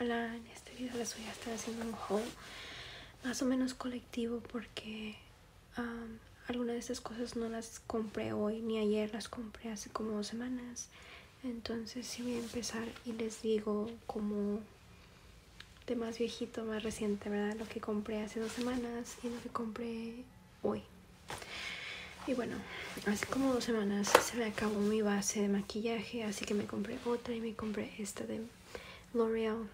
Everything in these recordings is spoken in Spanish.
Hola, en este video les voy a estar haciendo un haul más o menos colectivo porque algunas de estas cosas no las compré hoy ni ayer, las compré hace como dos semanas. Entonces si voy a empezar y les digo como de más viejito, más reciente, ¿verdad? Lo que compré hace dos semanas y lo que compré hoy. Y bueno, hace como dos semanas se me acabó mi base de maquillaje, así que me compré otra y me compré esta de L'Oreal.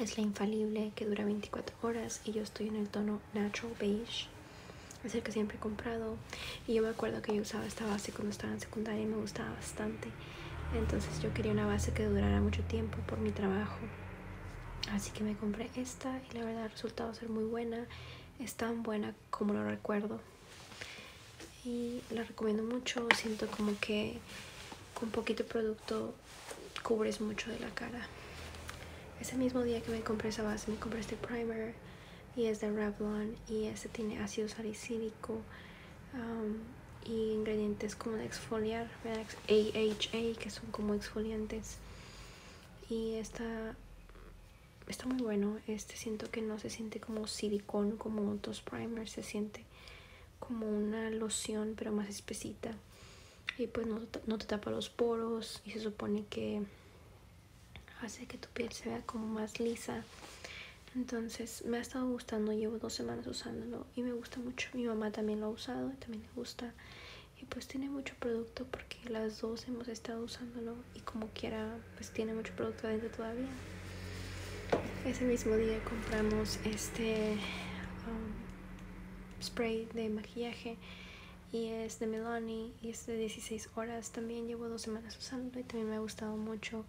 Es la infalible que dura 24 horas y yo estoy en el tono Natural Beige. Es el que siempre he comprado. Y yo me acuerdo que yo usaba esta base cuando estaba en secundaria y me gustaba bastante. Entonces yo quería una base que durara mucho tiempo por mi trabajo. Así que me compré esta y la verdad ha resultado ser muy buena. Es tan buena como lo recuerdo y la recomiendo mucho siento como que con poquito producto cubres mucho de la cara ese mismo día que me compré esa base me compré este primer y es de Revlon y este tiene ácido salicílico um, y ingredientes como de exfoliar AHA que son como exfoliantes y esta está muy bueno. Este siento que no se siente como silicón, como otros primers, se siente como una loción, pero más espesita. Y pues no, no te tapa los poros y se supone que hace que tu piel se vea como más lisa. Entonces me ha estado gustando, llevo dos semanas usándolo y me gusta mucho. Mi mamá también lo ha usado también le gusta. Y pues tiene mucho producto porque las dos hemos estado usándolo y como quiera pues tiene mucho producto adentro todavía. Ese mismo día compramos este um, spray de maquillaje y es de Milani y es de 16 horas. También llevo dos semanas usando y también me ha gustado mucho.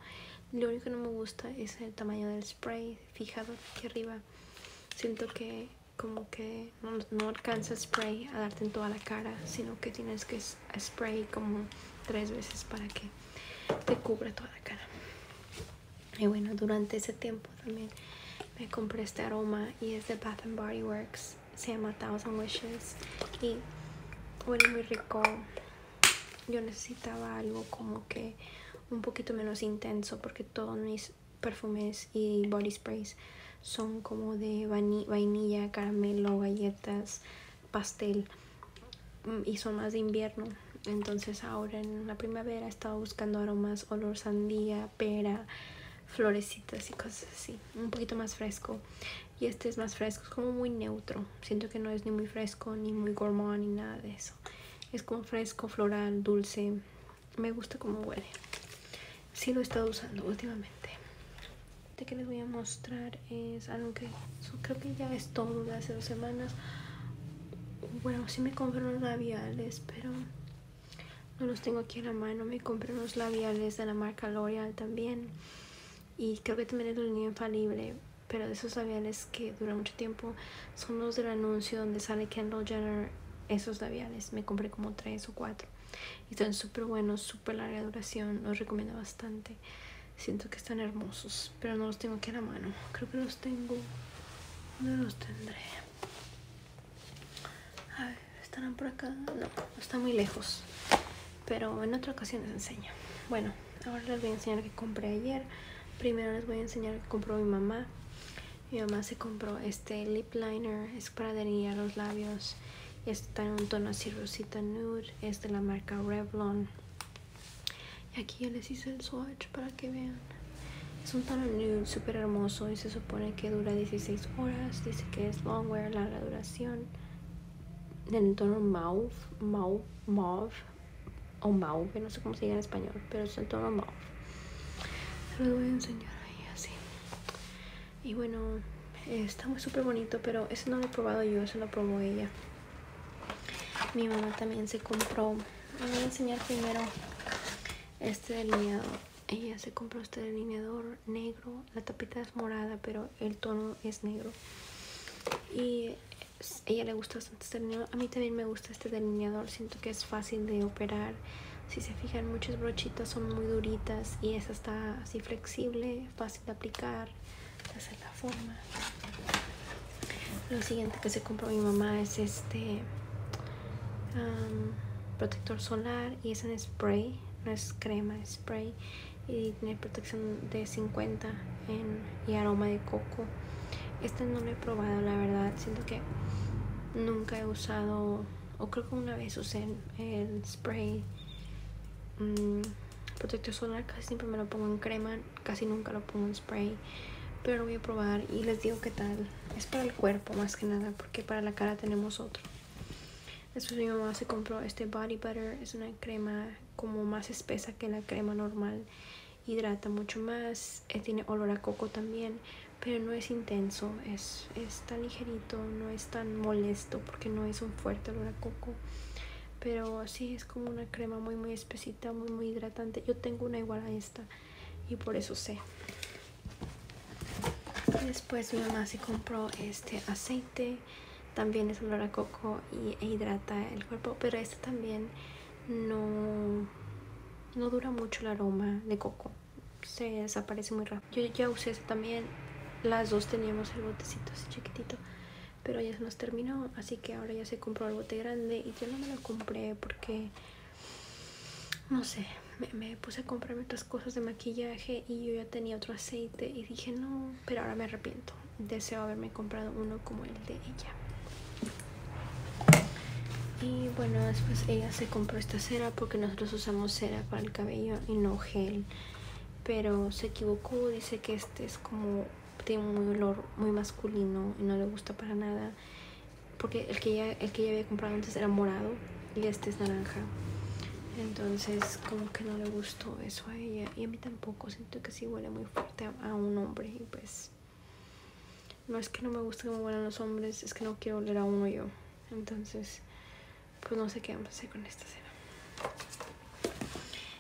Lo único que no me gusta es el tamaño del spray fijado aquí arriba. Siento que como que no, no alcanza spray a darte en toda la cara, sino que tienes que spray como tres veces para que te cubra toda la cara. Y bueno, durante ese tiempo también me compré este aroma y es de Bath and Body Works. Se llama Thousand Wishes y huele muy rico. Yo necesitaba algo como que un poquito menos intenso porque todos mis perfumes y body sprays son como de vainilla, caramelo, galletas, pastel mm, y son más de invierno. Entonces ahora en la primavera estaba buscando aromas, olor sandía, pera, florecitas y cosas así. Un poquito más fresco. Y este es más fresco, es como muy neutro. Siento que no es ni muy fresco, ni muy gourmand, ni nada de eso. Es como fresco, floral, dulce. Me gusta como huele. Sí lo he estado usando últimamente de que les voy a mostrar es algo que creo que ya es todo de hace dos semanas bueno sí me compré unos labiales pero no los tengo aquí en la mano me compré unos labiales de la marca L'Oreal también y creo que también es un niño infalible pero de esos labiales que duran mucho tiempo son los del anuncio donde sale Kendall Jenner esos labiales me compré como tres o cuatro y son súper buenos súper larga duración los recomiendo bastante siento que están hermosos, pero no los tengo aquí a la mano. Creo que los tengo. no los tendré? A ver, ¿estarán por acá? No, está muy lejos. Pero en otra ocasión les enseño. Bueno, ahora les voy a enseñar que compré ayer. Primero les voy a enseñar que compró mi mamá. Mi mamá se compró este lip liner, es para delinear los labios Está en un tono así rosita nude. Es de la marca Revlon. Y aquí ya les hice el swatch para que vean. Es un tono nude súper hermoso y se supone que dura 16 horas. Dice que es long wear, larga duración. En el tono mauve, mauve, mauve o mauve, no sé cómo se diga en español, pero es un tono mauve. Se voy a enseñar ahí así. Y bueno, está muy súper bonito, pero eso no lo he probado yo, eso lo probó ella. Mi mamá también se compró. voy a enseñar primero este delineador. Ella se compró este delineador negro. La tapita es morada, pero el tono es negro. Y a ella le gusta bastante este delineador. A mí también me gusta este delineador. Siento que es fácil de operar. Si se fijan, muchas brochitas son muy duritas y esa está así flexible, de aplicar, de hacer la forma. Lo siguiente que se compró mi mamá es este protector solar y es en spray, no es crema, spray y tiene protección de 50 y aroma de coco. Este no lo he probado, la verdad, siento que nunca he usado o creo que una vez usé el spray mm, protector solar casi siempre me lo pongo en crema casi nunca lo pongo en spray pero voy a probar y les digo que tal es para el cuerpo más que nada porque para la cara tenemos otro después mi mamá se compró este body butter es una crema como más espesa que la crema normal hidrata mucho más, eh, tiene olor a coco también, pero no es intenso, es tan ligerito, no es tan molesto porque no es un fuerte olor a coco. Pero sí es como una crema muy muy espesita, muy muy hidratante. Yo tengo una igual a esta y por eso sé. Después mi mamá se compró este aceite, también es olor a coco y, e hidrata el cuerpo, pero este también no, no dura mucho el aroma de coco, se desaparece muy rápido. Yo ya usé también. Las dos teníamos el botecito así chiquitito. Pero ya se nos terminó. Así que ahora ya se compró el bote grande. Y yo no me lo compré porque... No sé. me, puse a comprarme otras cosas de maquillaje. Y yo ya tenía otro aceite. Y dije no. Pero ahora me arrepiento. Deseo haberme comprado uno como el de ella. Y bueno, después ella se compró esta cera porque nosotros usamos cera para el cabello y no gel pero se equivocó, dice que este es como tiene un olor muy masculino y no le gusta para nada, porque el que ella, el que había comprado antes era morado y este es naranja. Entonces como que no le gustó eso a ella y a mí tampoco, siento que sí huele muy fuerte a, un hombre y pues no es que no me guste me huelen los hombres, es que no quiero oler a uno yo. Entonces pues no sé qué vamos a hacer con esta cena.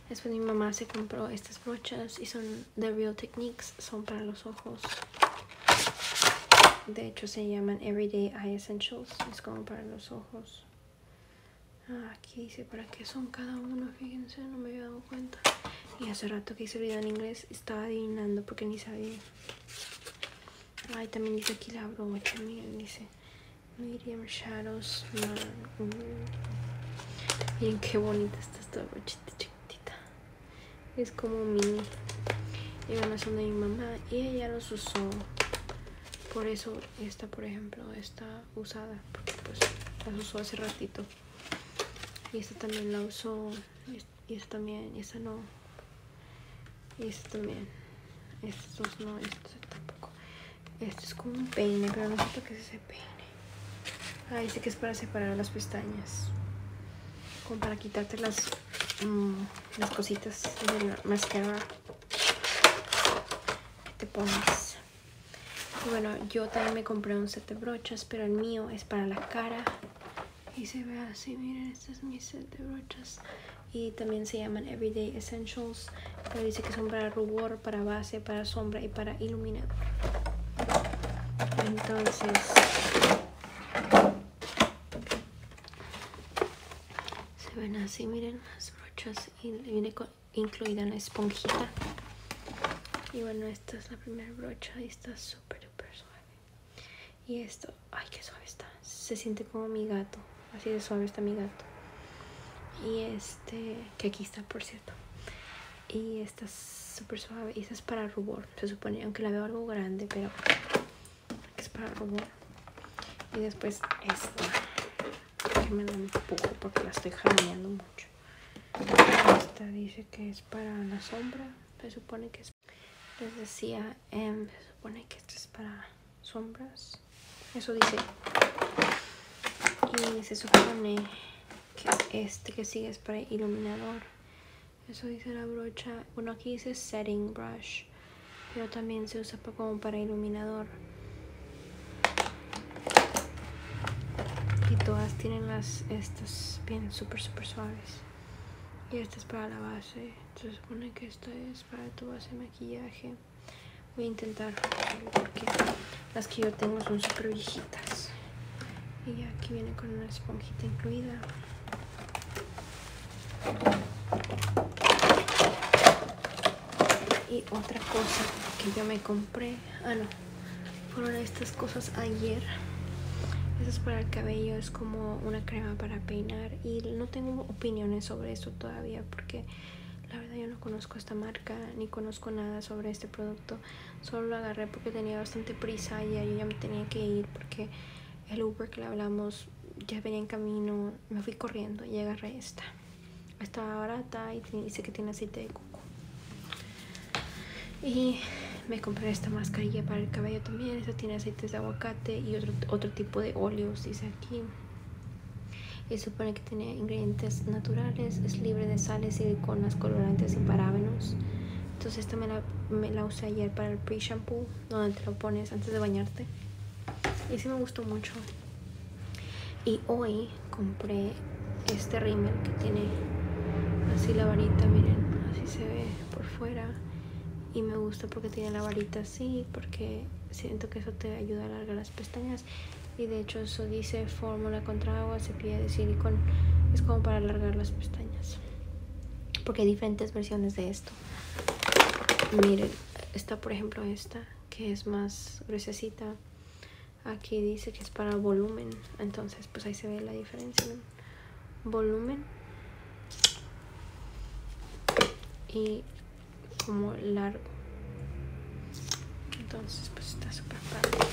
Después mi mamá se compró estas brochas y son de Real Techniques, son para los ojos. De hecho se llaman Everyday Eye Essentials, es como para los ojos. Ah, aquí dice para qué son cada uno, fíjense, no me había dado cuenta. Y hace rato que hice el video en inglés estaba adivinando porque ni sabía. Ay, también dice aquí la mucho miren, dice Miriam Shadows. Miren qué bonita está esta brochita chiquitita. Es como mini. y son de mi mamá y ella los usó. Por eso esta, por ejemplo, está usada. Porque pues las usó hace ratito. Y esta también la usó. Y esta también. Y esta no y esto también. Estos no, estos tampoco. esto es como un peine, pero no sé para qué es ese peine. Ah, dice que es para separar las pestañas. Como para quitarte las, mm, las cositas de la máscara que te pones. Y bueno, yo también me compré un set de brochas, pero el mío es para la cara. Y se ve así, miren, este es mi set de brochas y también se llaman Everyday Essentials. Pero dice que son para rubor, para base, para sombra y para iluminador. Entonces, se ven así, miren las brochas y viene incluida una esponjita. Y bueno, esta es la primera brocha y está súper, súper suave. Y esto, ay, que suave está. Se siente como mi gato. Así de suave está mi gato. Y este, que aquí está, por cierto. Y esta es súper suave. Y esta es para rubor, se supone. Aunque la veo algo grande, pero que es para rubor. Y después esta. Que me un poco, porque la estoy jaleando mucho. Esta dice que es para la sombra. Se supone que es. Les decía, Em, se supone que esto es para sombras eso dice y se supone que este que sigue es para iluminador eso dice la brocha bueno aquí dice setting brush pero también se usa como para iluminador y todas tienen las estas bien super super suaves y esta es para la base se supone que esta es para tu base de maquillaje voy a intentar porque las que yo tengo son super viejitas y aquí viene con una esponjita incluida y otra cosa que yo me compré ah no fueron estas cosas ayer eso es para el cabello es como una crema para peinar y no tengo opiniones sobre esto todavía porque la verdad yo no conozco esta marca ni conozco nada sobre este producto. Solo lo agarré porque tenía bastante prisa y yo ya me tenía que ir porque el Uber que le hablamos ya venía en camino. Me fui corriendo y agarré esta. Estaba barata y dice que tiene aceite de coco. Y me compré esta mascarilla para el cabello también. Esta tiene aceites de aguacate y otro tipo de óleos, dice aquí. y supone que tiene ingredientes naturales, es libre de sales, y siliconas, colorantes y parabenos Entonces esta me la, usé ayer para el pre-shampoo, donde te lo pones antes de bañarte. Y si me gustó mucho. Y hoy compré este rímel que tiene así la varita, miren, así se ve por fuera. Y me gusta porque tiene la varita sí porque siento que eso te ayuda a alargar las pestañas y de hecho eso dice fórmula contra agua, se de silicón, es como para alargar las pestañas porque hay diferentes versiones de esto miren, está por ejemplo esta que es más gruesecita aquí dice que es para volumen entonces pues ahí se ve la diferencia volumen y como largo entonces pues está súper padre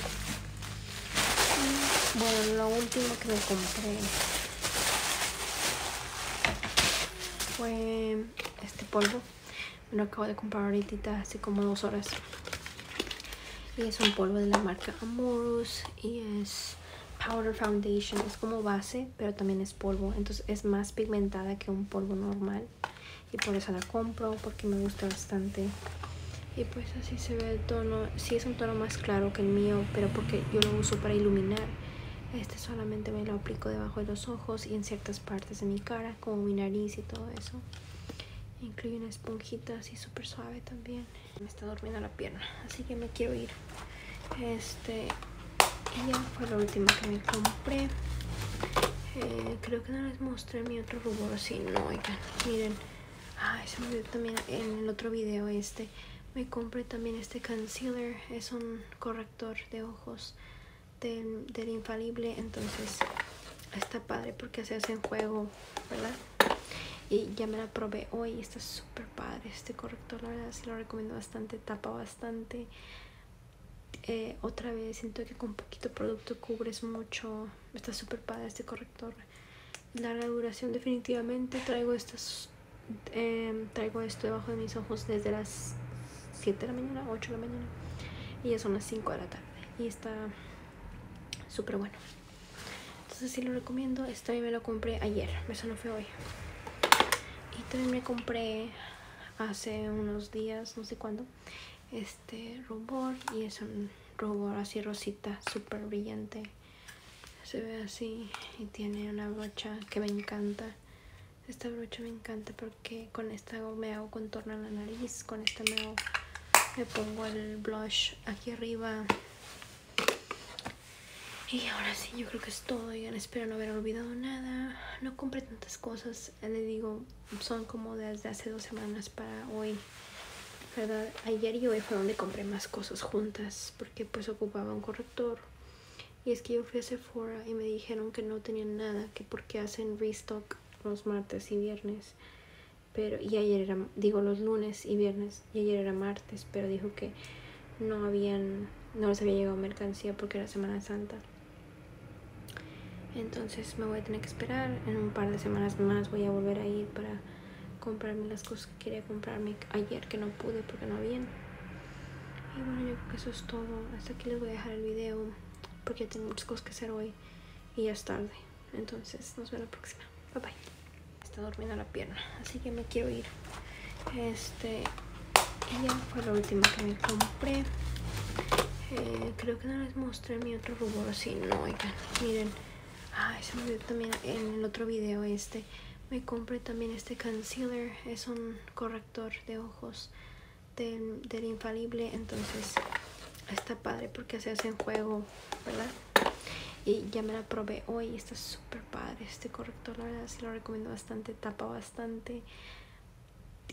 y, bueno lo último que me compré fue este polvo me lo acabo de comprar ahorita hace como dos horas y es un polvo de la marca Amorus y es powder foundation. Es como base, pero también es polvo. Entonces es más pigmentada que un polvo normal. Y por eso la compro, porque me gusta bastante. Y pues así se ve el tono. si es un tono más claro que el mío, pero porque yo lo uso para iluminar. Este solamente me lo aplico debajo de los ojos y en ciertas partes de mi cara, como mi nariz y todo eso. Incluye una esponjita así súper suave también. Me está durmiendo la pierna, así que me quiero ir. Este, ya fue lo último que me compré. Eh, creo que no les mostré mi otro rubor, si no, miren. se me también en el otro video este. Me compré también este concealer, es un corrector de ojos del, infalible, entonces está padre porque se hace en juego, ¿verdad? Y ya me la probé hoy, está súper padre este corrector, la verdad sí lo recomiendo bastante, tapa bastante. Eh, otra vez siento que con poquito producto cubres mucho, está súper padre este corrector. la duración definitivamente, traigo estas em, traigo esto debajo de mis ojos desde las 7 de la mañana, 8 de la mañana y ya son las 5 de la tarde y está súper bueno entonces sí lo recomiendo, esto me lo compré ayer, eso no fue hoy y también me compré hace unos días, no sé cuándo, este rubor. Y es un rubor así rosita, súper brillante. Se ve así y tiene una brocha que me encanta. Esta brocha me encanta porque con esta me hago contorno a la nariz, con esta me hago, me pongo el blush aquí arriba, y ahora sí, yo creo que es todo. ya espero no haber olvidado nada. No compré tantas cosas. Le digo, son como desde hace dos semanas para hoy. ¿Verdad? Ayer y hoy fue donde compré más cosas juntas. Porque pues ocupaba un corrector. Y es que yo fui a Sephora y me dijeron que no tenían nada. Que porque hacen restock los martes y viernes. Pero, y ayer era, digo, los lunes y viernes y ayer era martes, pero dijo que no habían, no les había llegado mercancía porque era Semana Santa. Entonces me voy a tener que esperar. En un par de semanas más voy a volver a ir para comprarme las cosas que quería comprarme ayer que no pude porque no habían. Y bueno, yo creo que eso es todo. Hasta aquí les voy a dejar el video porque tengo muchas cosas que hacer hoy y ya es tarde. Entonces, nos vemos la próxima. Bye bye está durmiendo la pierna, así que me quiero ir. Este, ya fue lo último que me compré. Eh, creo que no les mostré mi otro rubor si no, oigan, miren. Ay, se me dio también en el otro video este. Me compré también este concealer, es un corrector de ojos del, infalible, entonces está padre porque se hace en juego, ¿verdad? Y ya me la probé hoy, está súper padre este corrector, la verdad se lo recomiendo bastante, tapa bastante.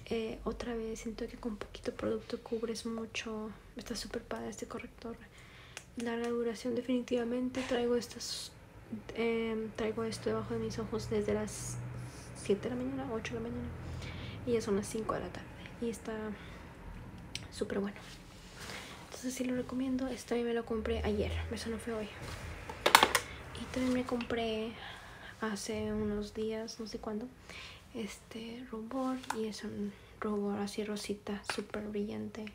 Eh, otra vez siento que con poquito producto cubres mucho, está súper padre este corrector. Larga duración definitivamente, traigo estas em, traigo esto debajo de mis ojos desde las 7 de la mañana, 8 de la mañana y ya son las 5 de la tarde y está súper bueno entonces sí lo recomiendo este también me lo compré ayer eso no fue hoy y también me compré hace unos días no sé cuándo este rubor y es un rubor así rosita súper brillante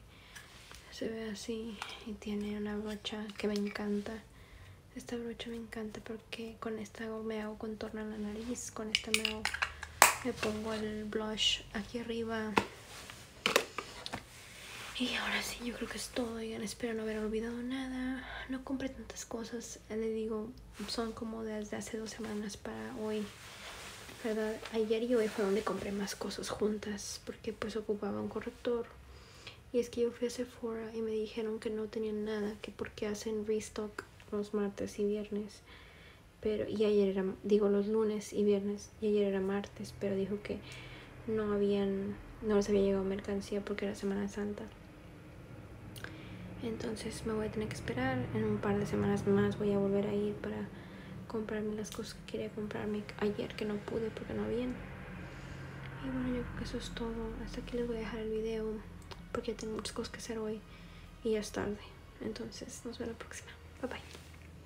se ve así y tiene una brocha que me encanta esta brocha me encanta porque con esta me hago contorno a la nariz con esta me hago me pongo el blush aquí arriba y ahora sí, yo creo que es todo. espero no haber olvidado nada. No compré tantas cosas. le digo, son como desde hace dos semanas para hoy. ¿Verdad? Ayer y hoy fue donde compré más cosas juntas. Porque pues ocupaba un corrector. Y es que yo fui a Sephora y me dijeron que no tenían nada. Que porque hacen restock los martes y viernes. Pero, y ayer era, digo, los lunes y viernes y ayer era martes, pero dijo que no habían, no les había llegado mercancía porque era Semana Santa. Entonces me voy a tener que esperar, en un par de semanas más voy a volver a ir para comprarme las cosas que quería comprarme ayer que no pude porque no habían. Y bueno, yo creo que eso es todo. Hasta aquí les voy a dejar el video porque tengo muchas cosas que hacer hoy y ya es tarde. Entonces, nos vemos la próxima. Bye bye.